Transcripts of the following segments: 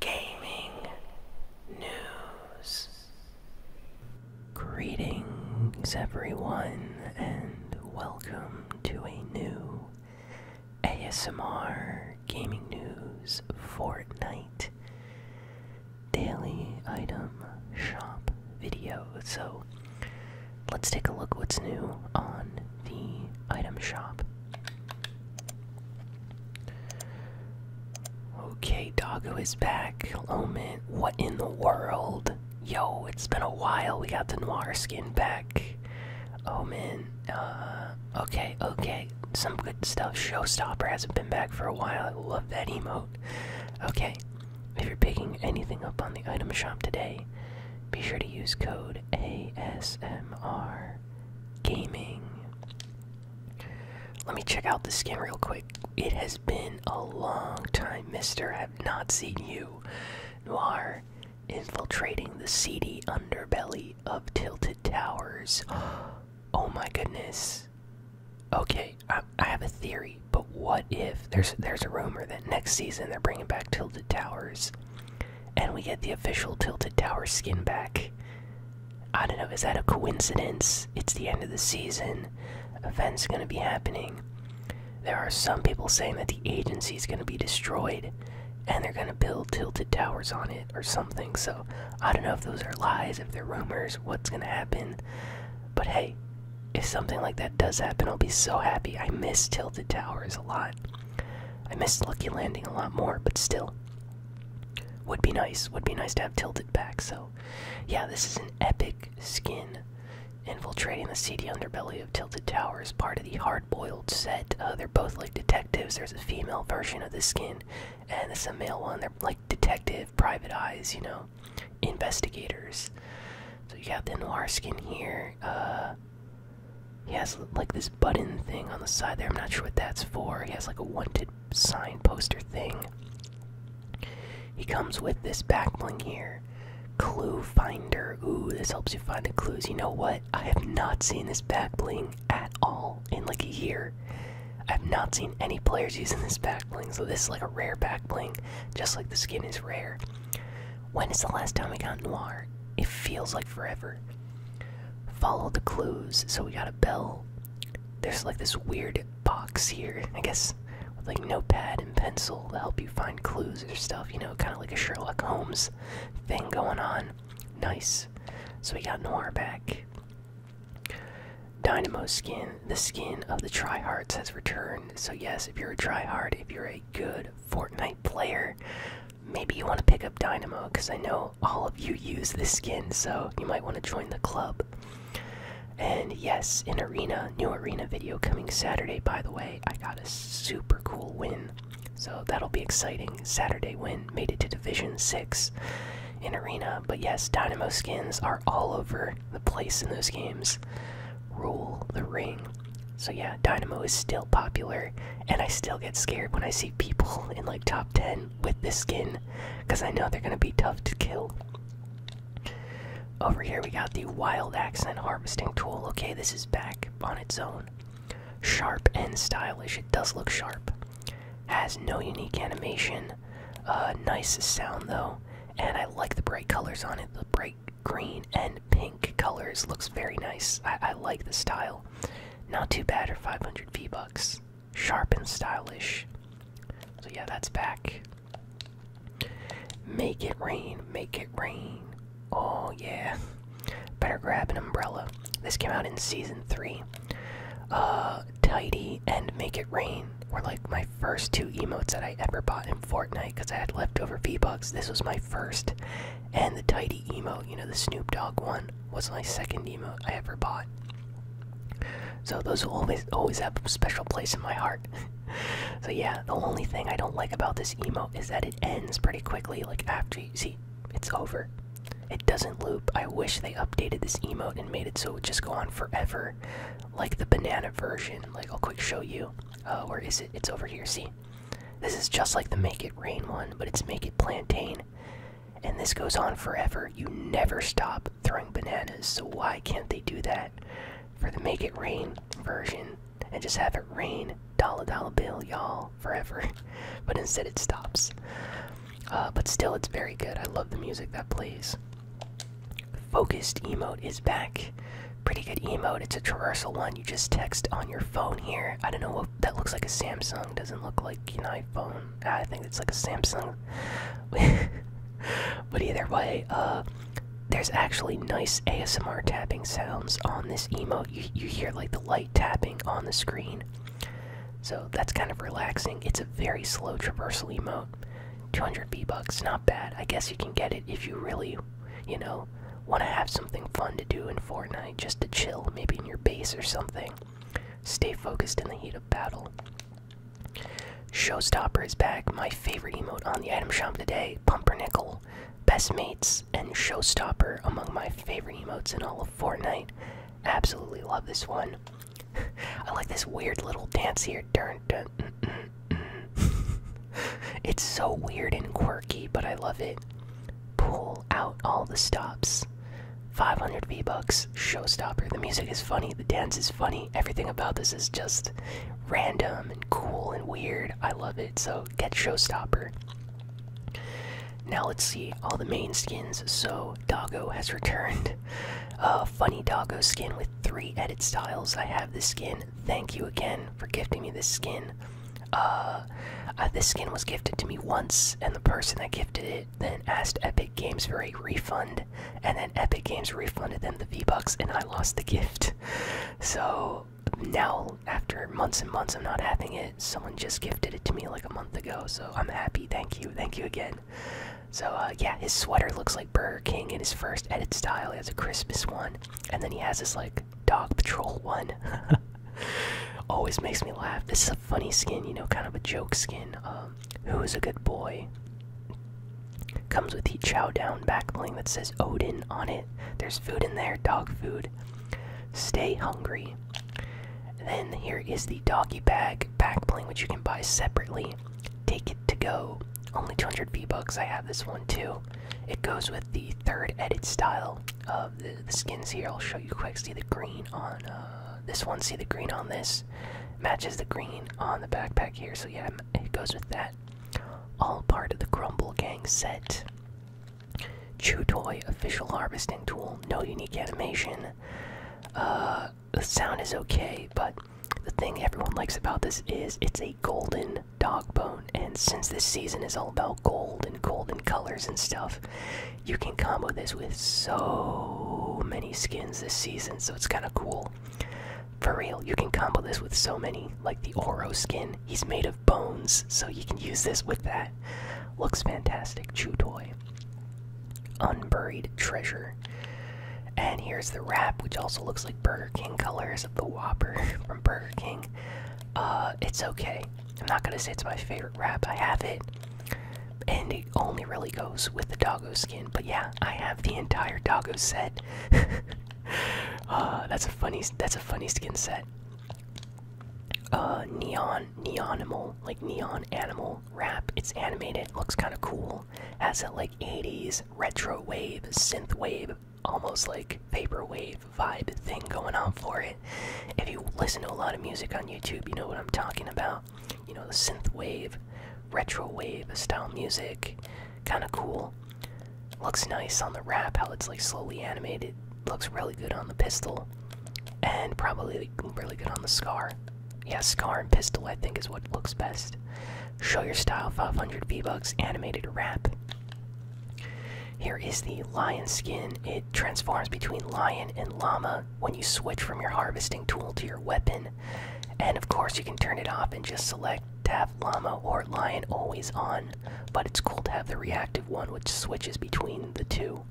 gaming news. Greetings, everyone, and welcome to a new ASMR Gaming News Fortnite Daily Item Shop video. So, let's take a look what's new on the item shop. Okay, Doggo is back. Oh man, what in the world? Yo, it's been a while. We got the noir skin back. Omen, uh, okay, okay. Some good stuff. Showstopper hasn't been back for a while. I love that emote. Okay, if you're picking anything up on the item shop today, be sure to use code ASMR Gaming. Let me check out the skin real quick. It has been a long time, mister. I have not seen you. You infiltrating the seedy underbelly of Tilted Towers. Oh my goodness. Okay, I, I have a theory, but what if there's there's a rumor that next season they're bringing back Tilted Towers, and we get the official Tilted Tower skin back? I don't know, is that a coincidence? It's the end of the season. Events going to be happening. There are some people saying that the agency is going to be destroyed and they're going to build tilted towers on it or something. So I don't know if those are lies, if they're rumors, what's going to happen. But hey, if something like that does happen, I'll be so happy. I miss tilted towers a lot. I miss Lucky Landing a lot more, but still, would be nice. Would be nice to have tilted back. So, yeah, this is an epic skin infiltrating the seedy underbelly of Tilted Towers, part of the hard-boiled set. Uh, they're both like detectives. There's a female version of this skin, and this a male one. They're like detective, private eyes, you know, investigators. So you got the noir skin here. Uh, he has like this button thing on the side there. I'm not sure what that's for. He has like a wanted sign poster thing. He comes with this back bling here. Clue finder. Ooh, this helps you find the clues. You know what? I have not seen this back bling at all in like a year. I've not seen any players using this back bling, so this is like a rare back bling, just like the skin is rare. When is the last time we got Noir? It feels like forever. Follow the clues. So we got a bell. There's like this weird box here, I guess, with like notepad and pencil to help you find clues or stuff, you know, kind of like a Sherlock Holmes thing going on. Nice. So we got Noir back. Dynamo skin, the skin of the tryhards has returned. So, yes, if you're a tryhard, if you're a good Fortnite player, maybe you want to pick up Dynamo because I know all of you use this skin, so you might want to join the club. And yes, in arena, new arena video coming Saturday, by the way. I got a super cool win, so that'll be exciting. Saturday win, made it to Division 6 in arena. But yes, Dynamo skins are all over the place in those games. Rule the ring. So yeah, Dynamo is still popular and I still get scared when I see people in like top 10 with this skin because I know they're gonna be tough to kill. Over here, we got the Wild Accent Harvesting Tool. Okay, this is back on its own. Sharp and stylish, it does look sharp. Has no unique animation, uh, nice sound though, and I like the bright colors on it. The bright green and pink colors looks very nice. I like the style. Not too bad for 500 V-Bucks. Sharp and stylish. So yeah, that's back. Make it rain, make it rain. Oh yeah. Better grab an umbrella. This came out in season three. Uh, Tidy and Make It Rain were like my first two emotes that I ever bought in Fortnite because I had leftover V-Bucks. This was my first, and the tidy emo, you know, the Snoop Dogg one, was my second emo I ever bought. So those will always always have a special place in my heart. so yeah, the only thing I don't like about this emo is that it ends pretty quickly. Like after you see, it's over. It doesn't loop. I wish they updated this emo and made it so it would just go on forever, like the banana version. Like I'll quick show you. Uh, where is it? It's over here. See, this is just like the make it rain one, but it's make it plantain. And this goes on forever. You never stop throwing bananas. So why can't they do that for the make it rain version and just have it rain dollar dollar bill, y'all, forever? but instead it stops. Uh, but still, it's very good. I love the music that plays. Focused emote is back. Pretty good emote. It's a traversal one. You just text on your phone here. I don't know what that looks like a Samsung. Doesn't look like an iPhone. I think it's like a Samsung. but either way, uh, there's actually nice ASMR tapping sounds on this emote. You, you hear like the light tapping on the screen. So that's kind of relaxing. It's a very slow traversal emote. 200 V bucks, not bad. I guess you can get it if you really, you know, want to have something fun to do in Fortnite, just to chill, maybe in your base or something, stay focused in the heat of battle. Showstopper is back, my favorite emote on the item shop today, Pumpernickel, Best Mates, and Showstopper among my favorite emotes in all of Fortnite. Absolutely love this one. I like this weird little dance here. Dun, dun, mm, mm, mm. it's so weird and quirky, but I love it pull out all the stops. 500 V-Bucks, showstopper. The music is funny, the dance is funny, everything about this is just random and cool and weird. I love it, so get showstopper. Now let's see all the main skins. So, Doggo has returned. A funny Doggo skin with three edit styles. I have this skin. Thank you again for gifting me this skin. Uh, uh, this skin was gifted to me once, and the person that gifted it then asked Epic Games for a refund, and then Epic Games refunded them the V Bucks, and I lost the gift. So now, after months and months of not having it, someone just gifted it to me like a month ago, so I'm happy. Thank you, thank you again. So, uh, yeah, his sweater looks like Burger King in his first edit style. He has a Christmas one, and then he has this like Dog Patrol one. Always makes me laugh. This is a funny skin, you know, kind of a joke skin. Um, who is a good boy? Comes with the Chow Down back that says Odin on it. There's food in there, dog food. Stay hungry. Then here is the doggy bag back which you can buy separately. Take it to go. Only 200 V bucks. I have this one too. It goes with the third edit style uh, the, skins here. I'll show you quick. See the green on uh, this one. See the green on this. Matches the green on the backpack here. So yeah, it goes with that. All part of the Grumble Gang set. Chew toy official harvesting tool. No unique animation. Uh, the sound is okay, but the thing everyone likes about this is it's a golden dog bone. And since this season is all about gold and golden colors and stuff, you can combo this with so many skins this season, so it's kind of cool. For real, you can combo this with so many, like the Oro skin. He's made of bones, so you can use this with that. Looks fantastic. Chew toy. Unburied treasure. And here's the wrap, which also looks like Burger King colors of the Whopper from Burger King. Uh, it's okay. I'm not gonna say it's my favorite wrap. I have it, and it only really goes with the doggo skin. But yeah, I have the entire doggo set. Uh, that's a funny. That's a funny skin set. Uh, neon, neonimal, like neon animal wrap. It's animated. Looks kind of cool. Has that like 80s retro wave, synth wave, almost like vapor wave vibe thing going on for it. If you listen to a lot of music on YouTube, you know what I'm talking about. You know, the synth wave, retro wave style music. Kind of cool. Looks nice on the rap. how it's like slowly animated. Looks really good on the pistol. And probably really good on the scar. Yeah, scar and pistol, I think, is what looks best. Show your style 500 V bucks animated rap. Here is the lion skin. It transforms between lion and llama when you switch from your harvesting tool to your weapon. And of course, you can turn it off and just select to have llama or lion always on. But it's cool to have the reactive one, which switches between the two.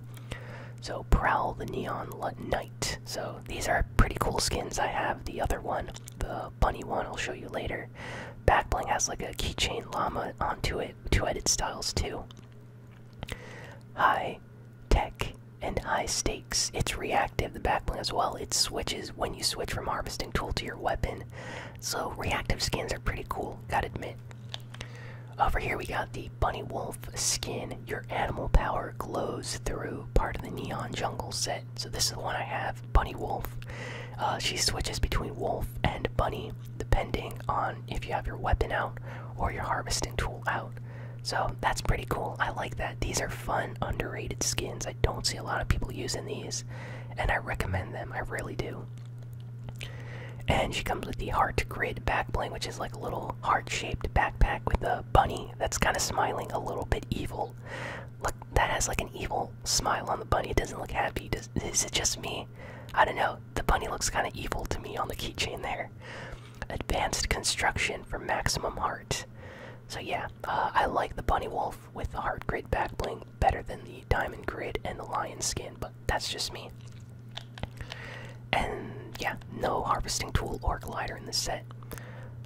So, Prowl the Neon Knight. So, these are pretty cool skins. I have the other one, the bunny one, I'll show you later. Backbling has like a keychain llama onto it, to edit styles too. High tech and high stakes. It's reactive, the backbling as well. It switches when you switch from harvesting tool to your weapon. So reactive skins are pretty cool, gotta admit. Over here we got the bunny wolf skin. Your animal power glows through part of the neon jungle set. So this is the one I have, bunny wolf. Uh, she switches between wolf and bunny depending on if you have your weapon out or your harvesting tool out. So that's pretty cool. I like that. These are fun, underrated skins. I don't see a lot of people using these, and I recommend them. I really do. And she comes with the heart grid backpack, which is like a little heart shaped backpack with a bunny that's kind of smiling a little bit evil. Look, that has like an evil smile on the bunny. It doesn't look happy. Does, is it just me? I don't know, the bunny looks kind of evil to me on the keychain there. Advanced construction for maximum heart. So, yeah, uh, I like the bunny wolf with the heart grid back bling better than the diamond grid and the lion skin, but that's just me. And yeah, no harvesting tool or glider in this set.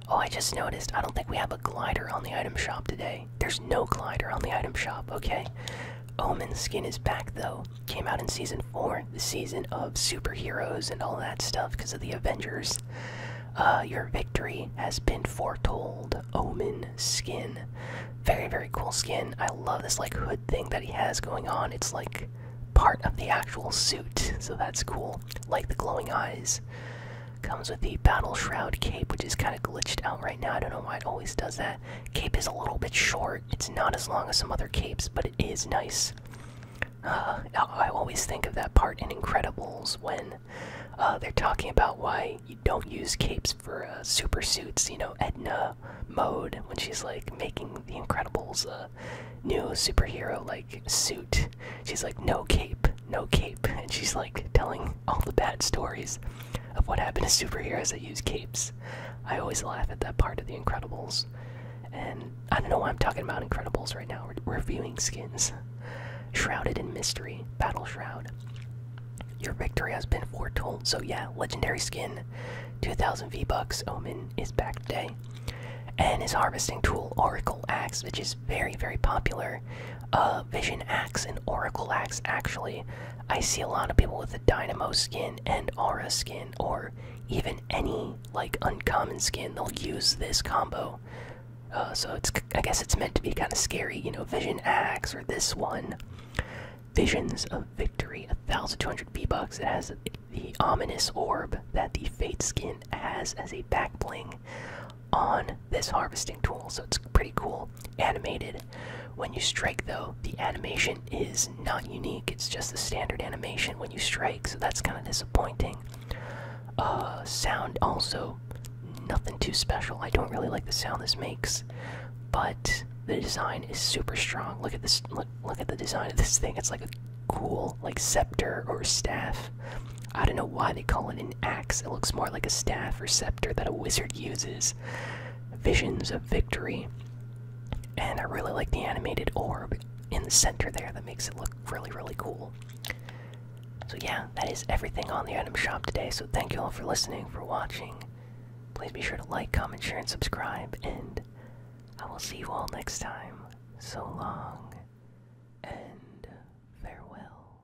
Oh, I just noticed I don't think we have a glider on the item shop today. There's no glider on the item shop, okay? Omen's skin is back though. Came out in season four, the season of superheroes and all that stuff because of the Avengers. Uh, your victory has been foretold. Omen skin, very very cool skin. I love this like hood thing that he has going on. It's like part of the actual suit, so that's cool. Like the glowing eyes. Comes with the battle shroud cape, which is kind of glitched out right now. I don't know why it always does that. Cape is a little bit short. It's not as long as some other capes, but it is nice. Uh, I always think of that part in Incredibles when uh, they're talking about why you don't use capes for uh, super suits. You know, Edna mode when she's like making the Incredibles new superhero like suit. She's like, no cape, no cape, and she's like telling all the bad stories of what happened to superheroes that use capes. I always laugh at that part of The Incredibles. And I don't know why I'm talking about Incredibles right now. We're reviewing skins. Shrouded in mystery, Battle Shroud. Your victory has been foretold. So, yeah, legendary skin, 2000 V Bucks. Omen is back today. And his harvesting tool, Oracle Axe, which is very, very popular. Uh, Vision Axe and Oracle Axe, actually, I see a lot of people with the Dynamo skin and Aura skin, or even any like uncommon skin, they'll use this combo. Uh, so it's I guess it's meant to be kind of scary, you know, Vision Axe or this one. Visions of Victory, 1,200 V-Bucks. It has the ominous orb that the Fate skin has as a back bling on this harvesting tool, so it's pretty cool. Animated. When you strike, though, the animation is not unique, it's just the standard animation when you strike, so that's kind of disappointing. Uh, sound also, nothing too special. I don't really like the sound this makes, but the design is super strong. Look at this, look at the design of this thing. It's like a cool, like scepter or staff. I don't know why they call it an axe. It looks more like a staff or scepter that a wizard uses visions of victory. And I really like the animated orb in the center there that makes it look really, really cool. So, yeah, that is everything on the item shop today. So, thank you all for listening, for watching. Please be sure to like, comment, share, and subscribe. And I will see you all next time. So long and farewell.